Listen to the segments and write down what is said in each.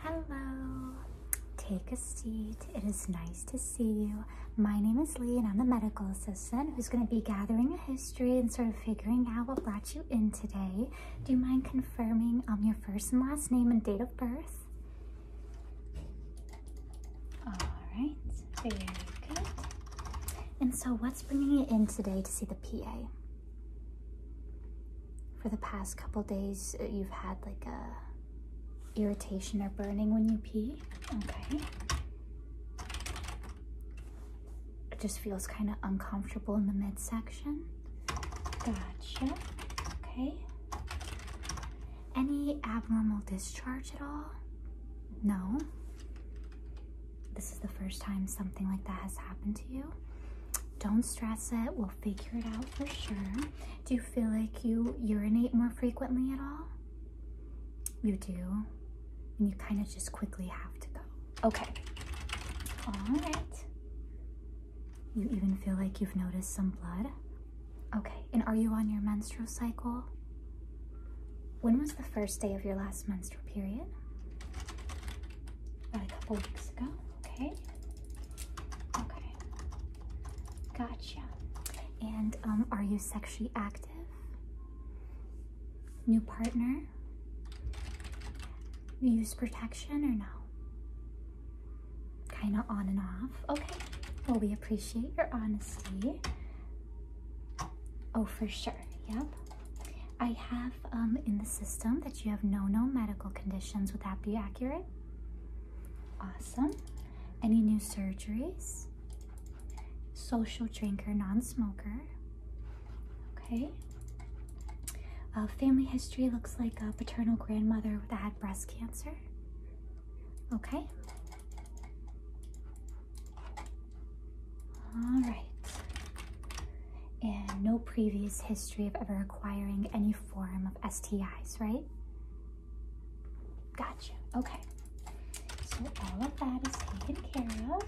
Hello. Take a seat. It is nice to see you. My name is Lee and I'm the medical assistant who's going to be gathering a history and sort of figuring out what brought you in today. Do you mind confirming um, your first and last name and date of birth? Alright, very good. And so what's bringing you in today to see the PA? For the past couple days, uh, you've had like a irritation or burning when you pee. Okay. It just feels kind of uncomfortable in the midsection. Gotcha. Okay. Any abnormal discharge at all? No this is the first time something like that has happened to you, don't stress it. We'll figure it out for sure. Do you feel like you urinate more frequently at all? You do. And you kind of just quickly have to go. Okay. All right. You even feel like you've noticed some blood? Okay. And are you on your menstrual cycle? When was the first day of your last menstrual period about a couple weeks ago. Okay. Okay. Gotcha. And um, are you sexually active? New partner? use protection or no? Kind of on and off. Okay. Well, we appreciate your honesty. Oh, for sure. Yep. I have um, in the system that you have no no medical conditions. Would that be accurate? Awesome. Any new surgeries? Social drinker, non smoker. Okay. Uh, family history looks like a paternal grandmother that had breast cancer. Okay. All right. And no previous history of ever acquiring any form of STIs, right? Gotcha. Okay. So all of that is taken care of.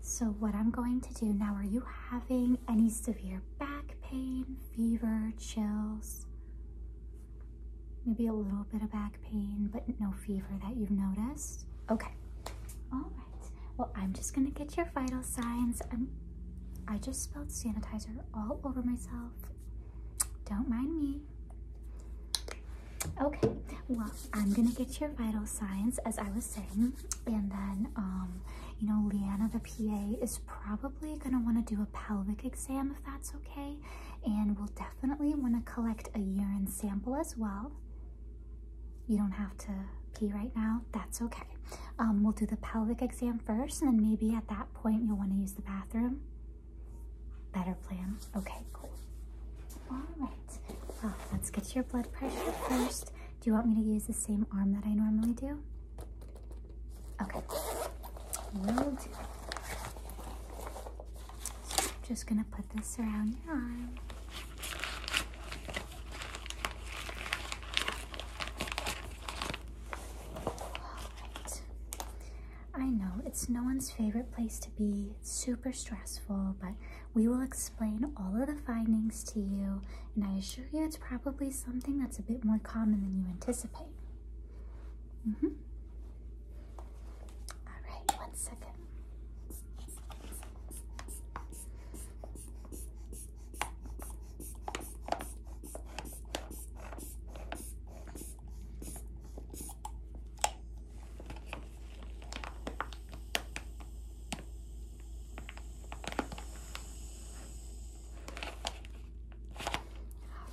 So what I'm going to do now, are you having any severe back pain, fever, chills? Maybe a little bit of back pain, but no fever that you've noticed? Okay. All right. Well, I'm just gonna get your vital signs. I'm. I just spilled sanitizer all over myself. Don't mind me. Okay. Well, I'm gonna get your vital signs as I was saying, and then um, you know, Leanna, the PA, is probably gonna want to do a pelvic exam if that's okay, and we'll definitely want to collect a urine sample as well you don't have to pee right now, that's okay. Um, we'll do the pelvic exam first, and then maybe at that point you'll want to use the bathroom. Better plan. Okay, cool. All right. Well, let's get your blood pressure first. Do you want me to use the same arm that I normally do? Okay. Will do. Just gonna put this around your arm. I know it's no one's favorite place to be, it's super stressful, but we will explain all of the findings to you, and I assure you it's probably something that's a bit more common than you anticipate. Mm-hmm. Alright, one second.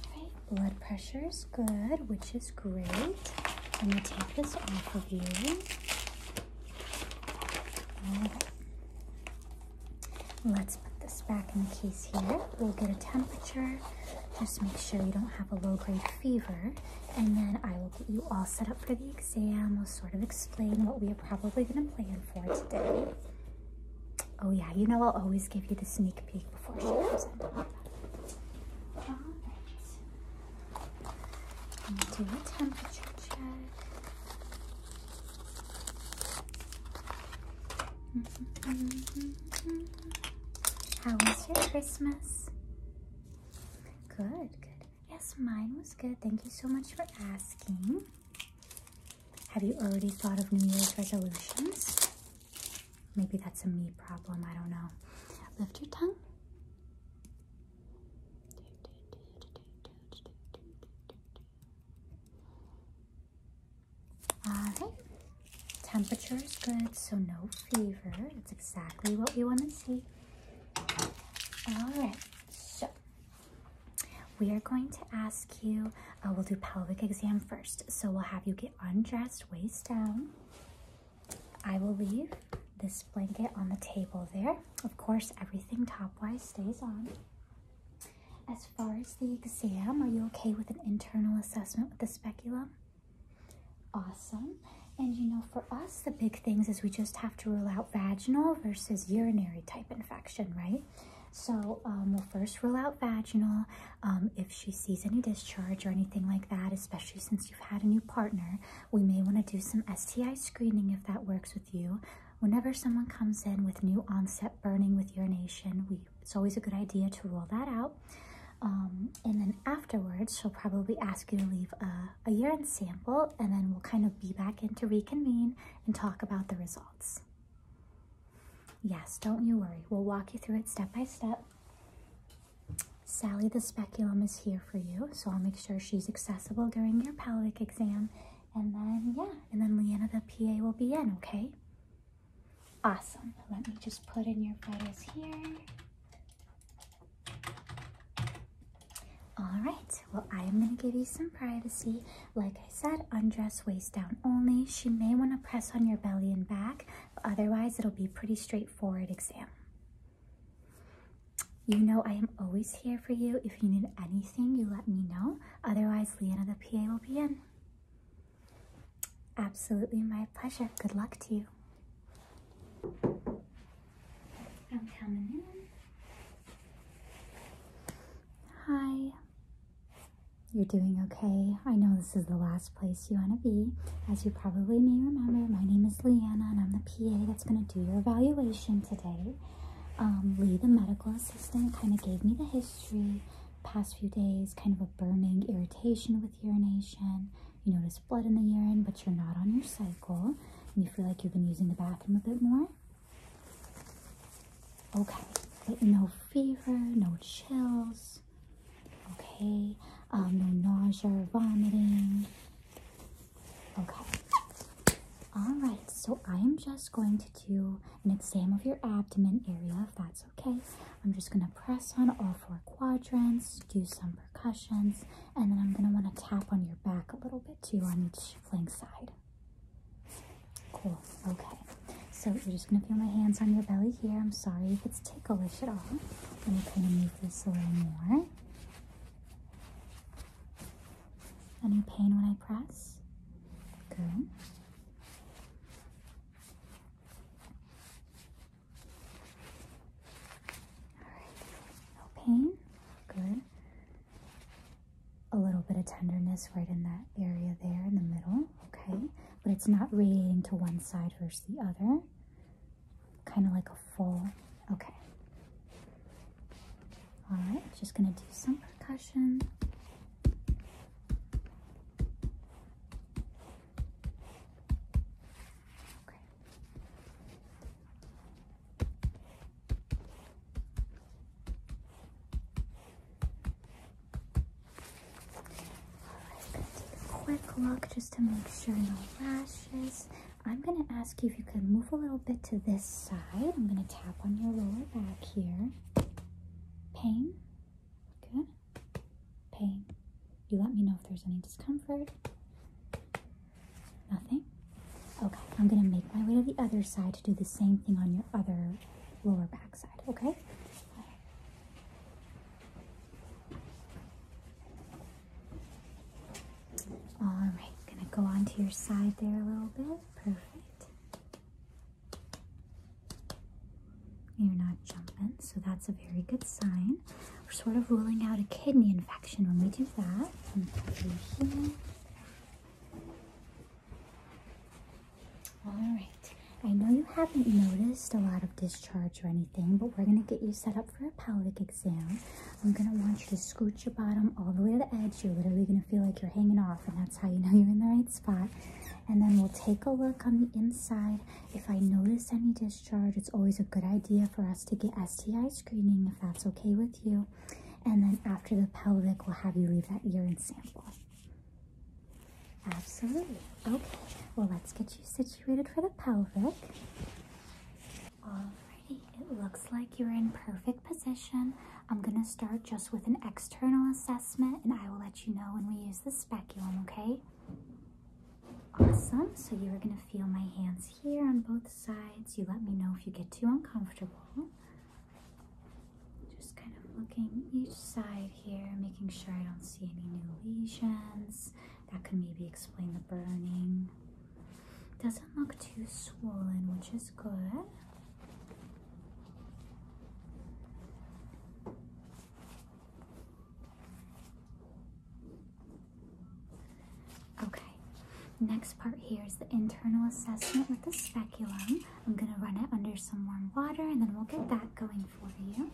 All right, blood pressures good, which is great. I'm gonna take this off of you. Let's put this back in the case here. We'll get a temperature. Just make sure you don't have a low-grade fever. And then I will get you all set up for the exam. We'll sort of explain what we are probably gonna plan for today. Oh yeah, you know I'll always give you the sneak peek before she comes in. All right do a temperature check. Mm-hmm, mm-hmm, mm-hmm. How was your Christmas? Good, good. Yes, mine was good. Thank you so much for asking. Have you already thought of New Year's resolutions? Maybe that's a me problem. I don't know. Lift your tongue. Alright, temperature is good, so no fever. That's exactly what we want to see. Alright, so we are going to ask you, uh, we'll do pelvic exam first. So we'll have you get undressed, waist down. I will leave this blanket on the table there. Of course, everything top-wise stays on. As far as the exam, are you okay with an internal assessment with the speculum? Awesome. And you know, for us, the big things is we just have to rule out vaginal versus urinary type infection, right? So um, we'll first rule out vaginal, um, if she sees any discharge or anything like that, especially since you've had a new partner, we may want to do some STI screening if that works with you. Whenever someone comes in with new onset burning with urination, it's always a good idea to rule that out. Um, and then afterwards, she'll probably ask you to leave a urine sample, and then we'll kind of be back in to reconvene and talk about the results. Yes, don't you worry. We'll walk you through it step by step. Sally the Speculum is here for you, so I'll make sure she's accessible during your pelvic exam. And then, yeah, and then Leanna the PA will be in, okay? Awesome. Let me just put in your photos here. All right, well, I am gonna give you some privacy. Like I said, undress waist down only. She may wanna press on your belly and back. Otherwise, it'll be pretty straightforward exam. You know I am always here for you. If you need anything, you let me know. Otherwise, Leanna the PA will be in. Absolutely my pleasure. Good luck to you. I'm coming in. Hi. You're doing okay. I know this is the last place you want to be. As you probably may remember, my name is Leanna and I'm the PA that's going to do your evaluation today. Um, Lee, the medical assistant, kind of gave me the history past few days, kind of a burning irritation with urination. You notice blood in the urine, but you're not on your cycle. And you feel like you've been using the bathroom a bit more. Okay, but no fever, no chills, Okay, um, no nausea or vomiting. Okay, all right, so I'm just going to do an exam of your abdomen area if that's okay. I'm just going to press on all four quadrants, do some percussions, and then I'm going to want to tap on your back a little bit too on each flank side. Cool, okay. So you're just gonna feel my hands on your belly here. I'm sorry if it's ticklish at all. Let me kind of move this a little more. Any pain when I press? Good. All right. No pain. Good. A little bit of tenderness right in that area there in the middle. Okay but it's not radiating to one side versus the other. Kind of like a full, okay. All right, just gonna do some percussion. Okay. Gonna take a quick look just to make sure no rashes. I'm gonna ask you if you could move a little bit to this side. I'm gonna tap on your lower back here. Pain? Good. Pain. You let me know if there's any discomfort. Nothing? Okay, I'm gonna make my way to the other side to do the same thing on your other lower back side, okay? All right, gonna go onto your side there a little bit. Perfect. You're not jumping, so that's a very good sign. We're sort of ruling out a kidney infection when we do that. All right. I know you haven't noticed a lot of discharge or anything, but we're going to get you set up for a pelvic exam. I'm going to want you to scooch your bottom all the way to the edge. You're literally going to feel like you're hanging off, and that's how you know you're in the right spot. And then we'll take a look on the inside. If I notice any discharge, it's always a good idea for us to get STI screening, if that's okay with you. And then after the pelvic, we'll have you leave that urine sample. Absolutely. Okay, well, let's get you situated for the pelvic. Alrighty, it looks like you're in perfect position. I'm gonna start just with an external assessment and I will let you know when we use the speculum, okay? Awesome, so you are gonna feel my hands here on both sides. You let me know if you get too uncomfortable. Just kind of looking each side here, making sure I don't see any new lesions. That could maybe explain the burning. Doesn't look too swollen, which is good. Okay, next part here is the internal assessment with the speculum. I'm gonna run it under some warm water and then we'll get that going for you.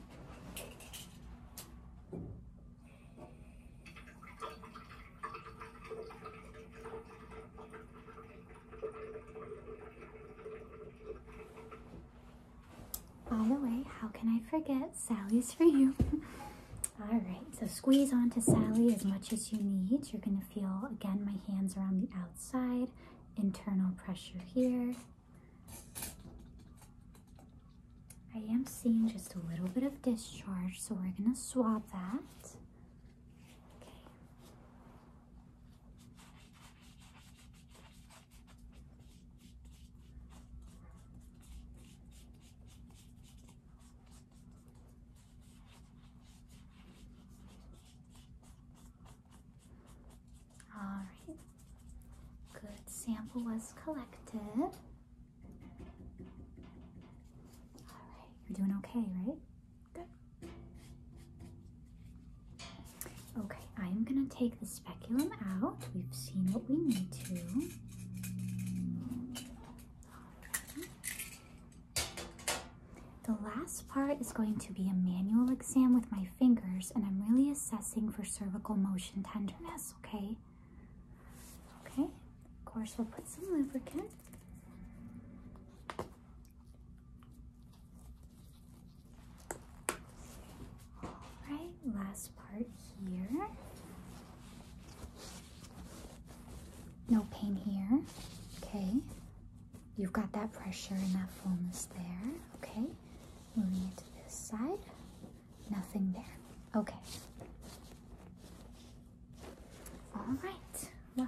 By the way, how can I forget? Sally's for you. All right, so squeeze onto Sally as much as you need. You're gonna feel, again, my hands around the outside, internal pressure here. I am seeing just a little bit of discharge, so we're going to swap that. Okay. All right, good sample was collected. All right, you're doing okay, right? Good. Okay, I am going to take the speculum out. We've seen what we need to. The last part is going to be a manual exam with my fingers, and I'm really assessing for cervical motion tenderness, okay? Okay, of course, we'll put some lubricant. Alright, last part here. No pain here, okay? You've got that pressure and that fullness there. Okay. Moving it to this side. Nothing there. Okay. All right. Well,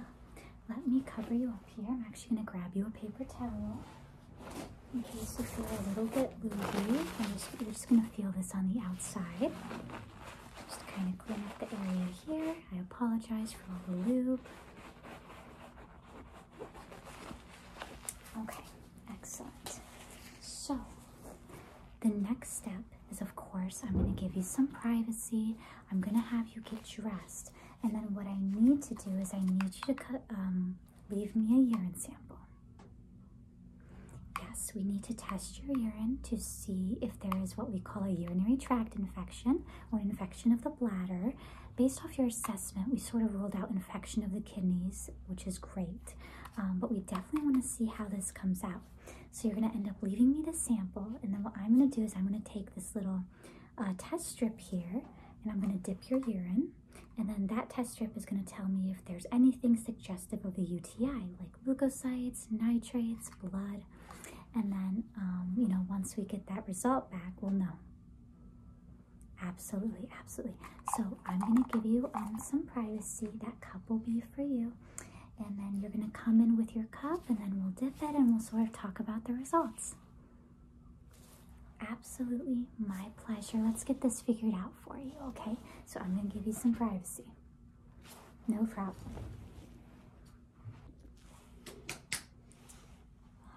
let me cover you up here. I'm actually going to grab you a paper towel. In case you feel a little bit loopy, you're just going to feel this on the outside. Just kind of clean up the area here. I apologize for all the loop. Okay, excellent. So, the next step is, of course, I'm going to give you some privacy. I'm going to have you get dressed. And then what I need to do is I need you to cut, um, leave me a urine sample. Yes, we need to test your urine to see if there is what we call a urinary tract infection or infection of the bladder. Based off your assessment, we sort of ruled out infection of the kidneys, which is great, um, but we definitely want to see how this comes out. So you're going to end up leaving me the sample, and then what I'm going to do is I'm going to take this little uh, test strip here, and I'm going to dip your urine, and then that test strip is going to tell me if there's anything suggestive of a UTI, like leukocytes, nitrates, blood, and then, um, you know, once we get that result back, we'll know. Absolutely, absolutely. So I'm gonna give you um, some privacy. That cup will be for you. And then you're gonna come in with your cup and then we'll dip it and we'll sort of talk about the results. Absolutely, my pleasure. Let's get this figured out for you, okay? So I'm gonna give you some privacy. No problem.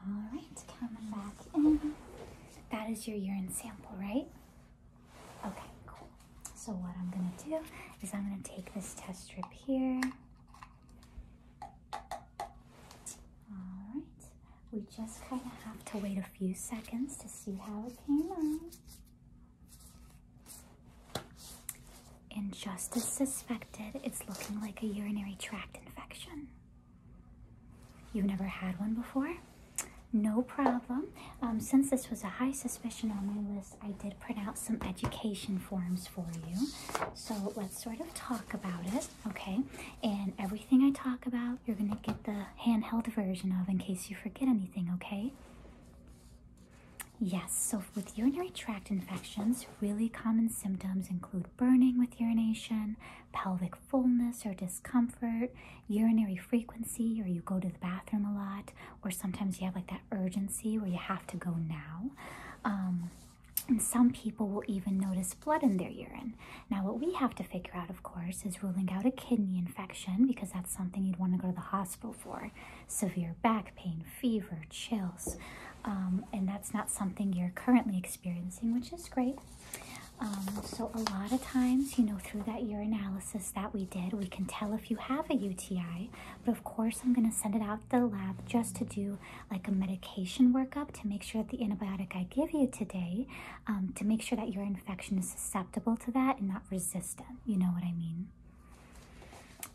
All right, coming back in. That is your urine sample, right? Okay, cool. So what I'm gonna do is I'm gonna take this test strip here. All right, we just kind of have to wait a few seconds to see how it came out. Injustice suspected it's looking like a urinary tract infection. You've never had one before? No problem. Um, since this was a high suspicion on my list, I did print out some education forms for you. So let's sort of talk about it, okay? And everything I talk about, you're gonna get the handheld version of in case you forget anything, okay? Yes, so with urinary tract infections, really common symptoms include burning with urination, pelvic fullness or discomfort, urinary frequency, or you go to the bathroom a lot, or sometimes you have like that urgency where you have to go now. Um, and some people will even notice blood in their urine. Now, what we have to figure out, of course, is ruling out a kidney infection because that's something you'd want to go to the hospital for severe back pain, fever, chills, um, and that's not something you're currently experiencing, which is great. Um, so a lot of times, you know, through that urinalysis that we did, we can tell if you have a UTI, but of course I'm going to send it out to the lab just to do like a medication workup to make sure that the antibiotic I give you today, um, to make sure that your infection is susceptible to that and not resistant, you know what I mean?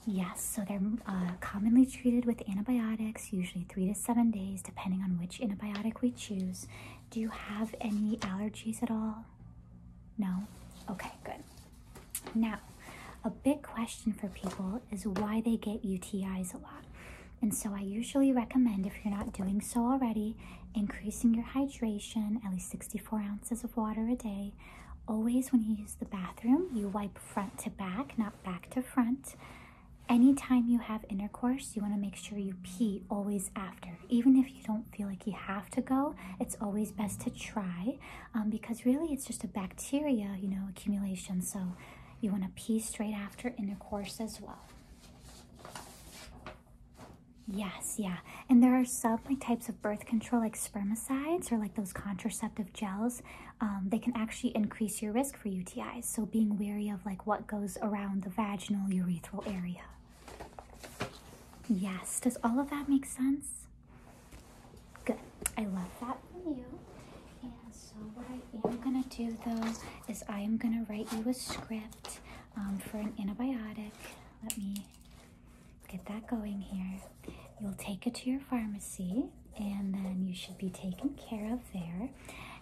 Yes, so they're uh, commonly treated with antibiotics, usually three to seven days, depending on which antibiotic we choose. Do you have any allergies at all? No? Okay, good. Now, a big question for people is why they get UTIs a lot. And so I usually recommend, if you're not doing so already, increasing your hydration, at least 64 ounces of water a day, always, when you use the bathroom, you wipe front to back, not back to front. Anytime you have intercourse, you want to make sure you pee always after. Even if you don't feel like you have to go, it's always best to try um, because really it's just a bacteria, you know, accumulation. So you want to pee straight after intercourse as well. Yes, yeah. And there are some like types of birth control, like spermicides or like those contraceptive gels. Um, they can actually increase your risk for UTIs. So being wary of like what goes around the vaginal urethral area. Yes. Does all of that make sense? Good. I love that from you. And so what I am gonna do though is I am gonna write you a script um, for an antibiotic. Let me get that going here. You'll take it to your pharmacy and then you should be taken care of there.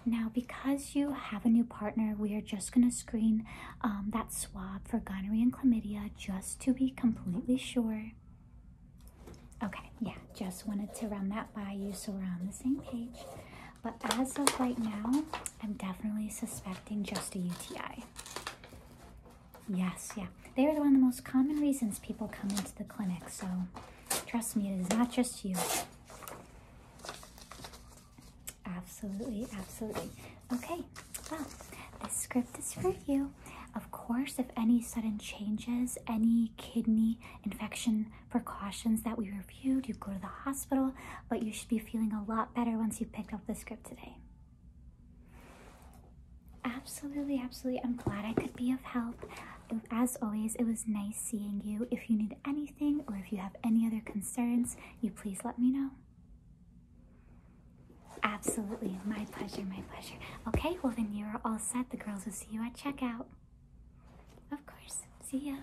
Now, because you have a new partner, we are just going to screen um, that swab for gonorrhea and chlamydia just to be completely sure. Okay, yeah, just wanted to run that by you so we're on the same page. But as of right now, I'm definitely suspecting just a UTI. Yes, yeah. They are one of the most common reasons people come into the clinic, so trust me, it is not just you. Absolutely, absolutely. Okay, well, this script is for you. Of course, if any sudden changes, any kidney infection precautions that we reviewed, you go to the hospital, but you should be feeling a lot better once you picked up the script today. Absolutely, absolutely. I'm glad I could be of help. As always, it was nice seeing you. If you need anything or if you have any other concerns, you please let me know. Absolutely, my pleasure, my pleasure. Okay, well then you are all set. The girls will see you at checkout. Of course, see ya.